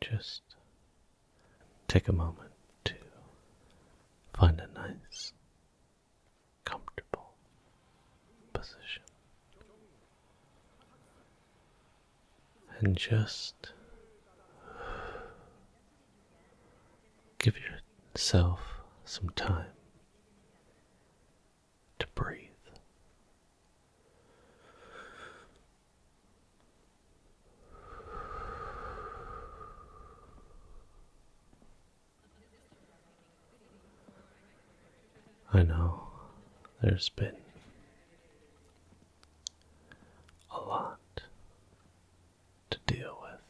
Just take a moment to find a nice, comfortable position and just give yourself some time to breathe. I know there's been a lot to deal with,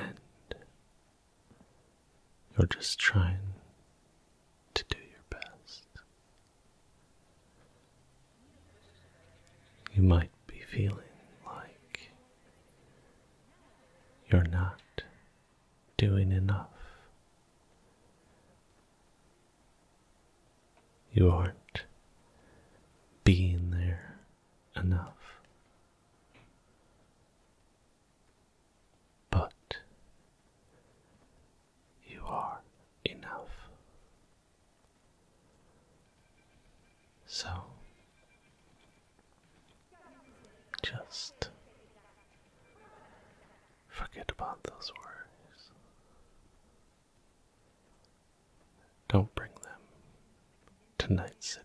and you're just trying to do your best. You might be feeling like you're not doing enough. You aren't being there enough. But you are enough. So just forget about those worries. Don't bring them to Night City.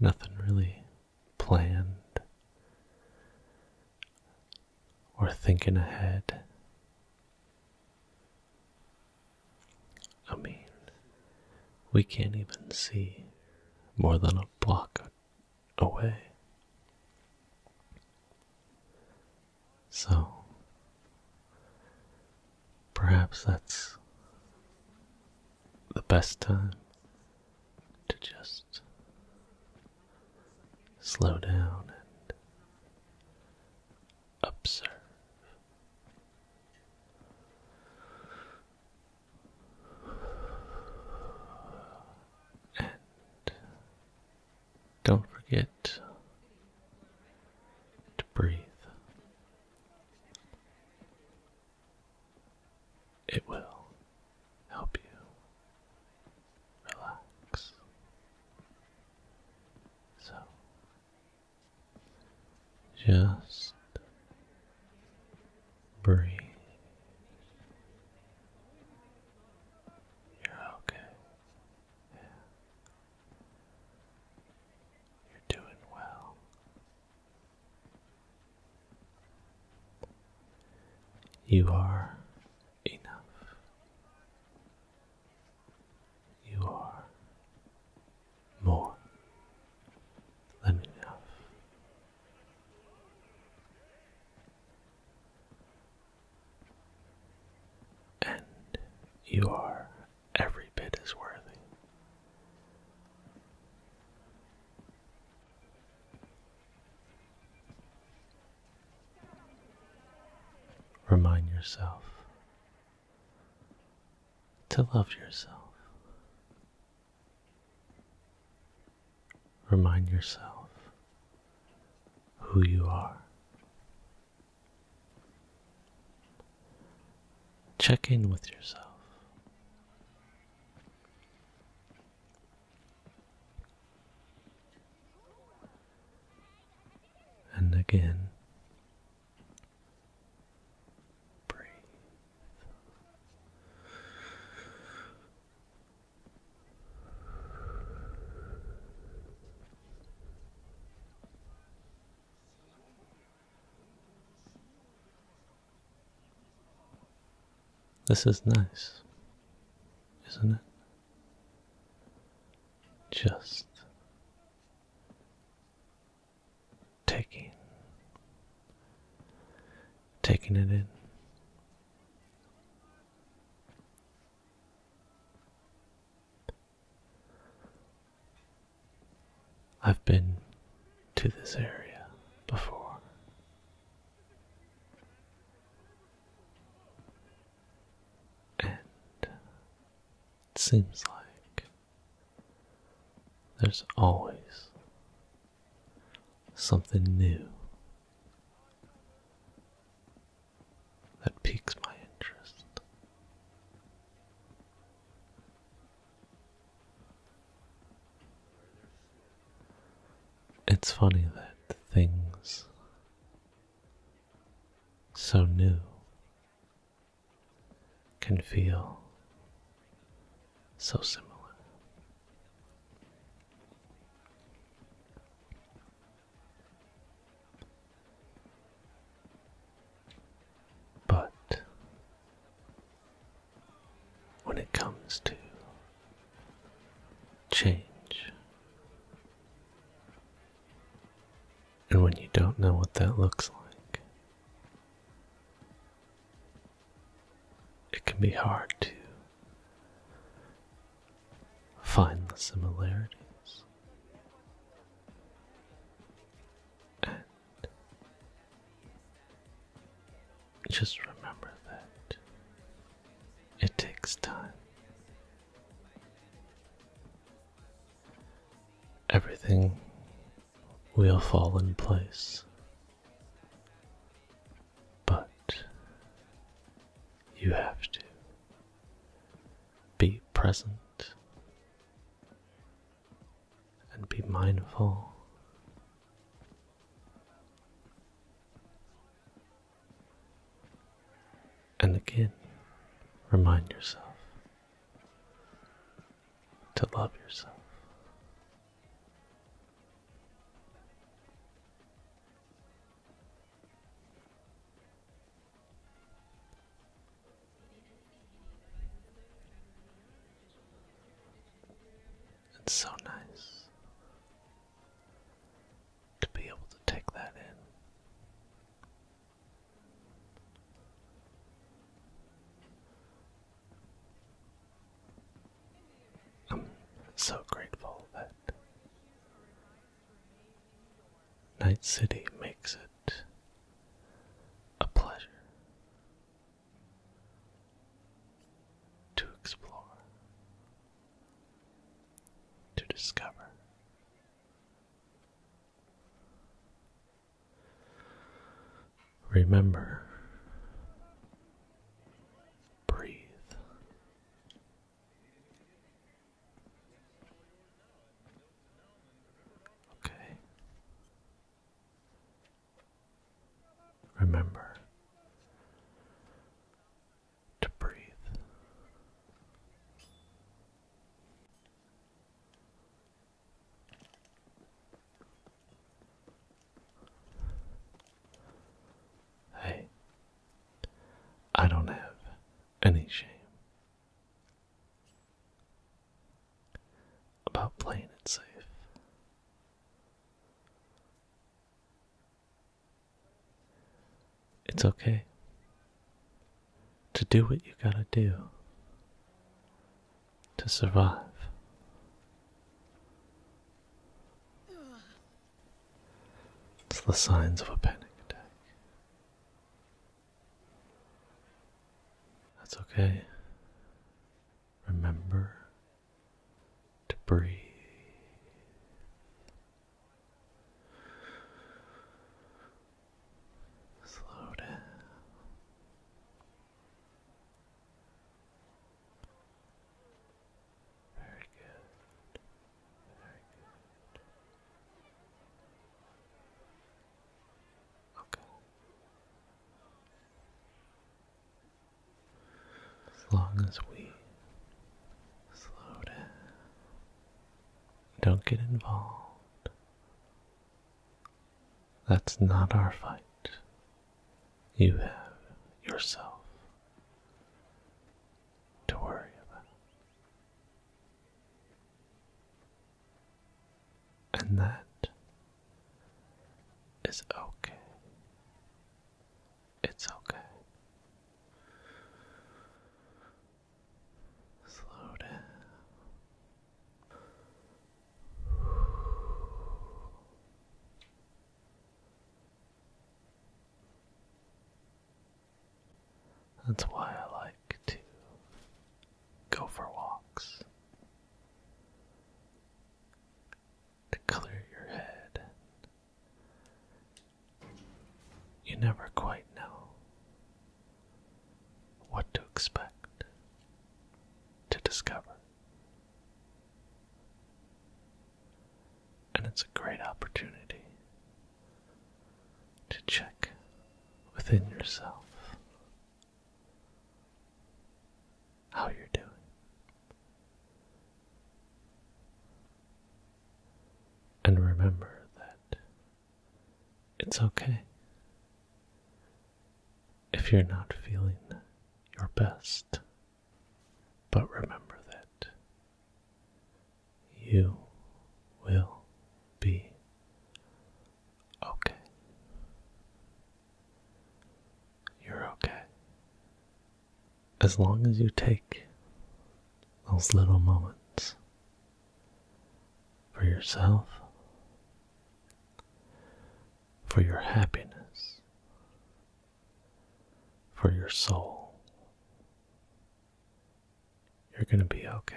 Nothing really planned or thinking ahead. I mean, we can't even see more than a block away. So perhaps that's the best time to just slow down and observe. And don't forget to breathe. It will help you relax. So just breathe. You're okay. You're doing well. You are enough. You are more than enough. And you are every bit is worthy. Remind yourself to love yourself. Remind yourself who you are. Check in with yourself. And again, breathe. This is nice, isn't it? Just taking taking it in. I've been to this area before. And it seems like there's always something new that piques my interest. It's funny that things so new can feel so similar. But when it comes to change, and when you don't know what that looks like, it can be hard to find the similarities. And just remember that it takes time. Everything will fall in place, but you have to be present and be mindful and again remind yourself to love yourself it's so nice to be able to take that in. I'm so grateful that Night City makes it a pleasure to explore, to discover. Remember, breathe, Okay. Remember to breathe. Hey, I don't have any shame about playing it safe. It's okay to do what you gotta do to survive. It's the signs of a panic attack. That's okay. Remember to breathe. Slow down. Very good. Very good. Okay. As long as we slow down, don't get involved. That's not our fight. You have yourself to worry about. And that is okay. It's okay. Slow down. That's why I like to go for walks. To clear your head. You never quite know what to expect to discover. And it's a great opportunity to check within yourself how you're doing. And remember that it's okay if you're not feeling your best, but remember that you will be okay. You're okay. As long as you take those little moments for yourself, for your happiness, for your soul, you're going to be okay.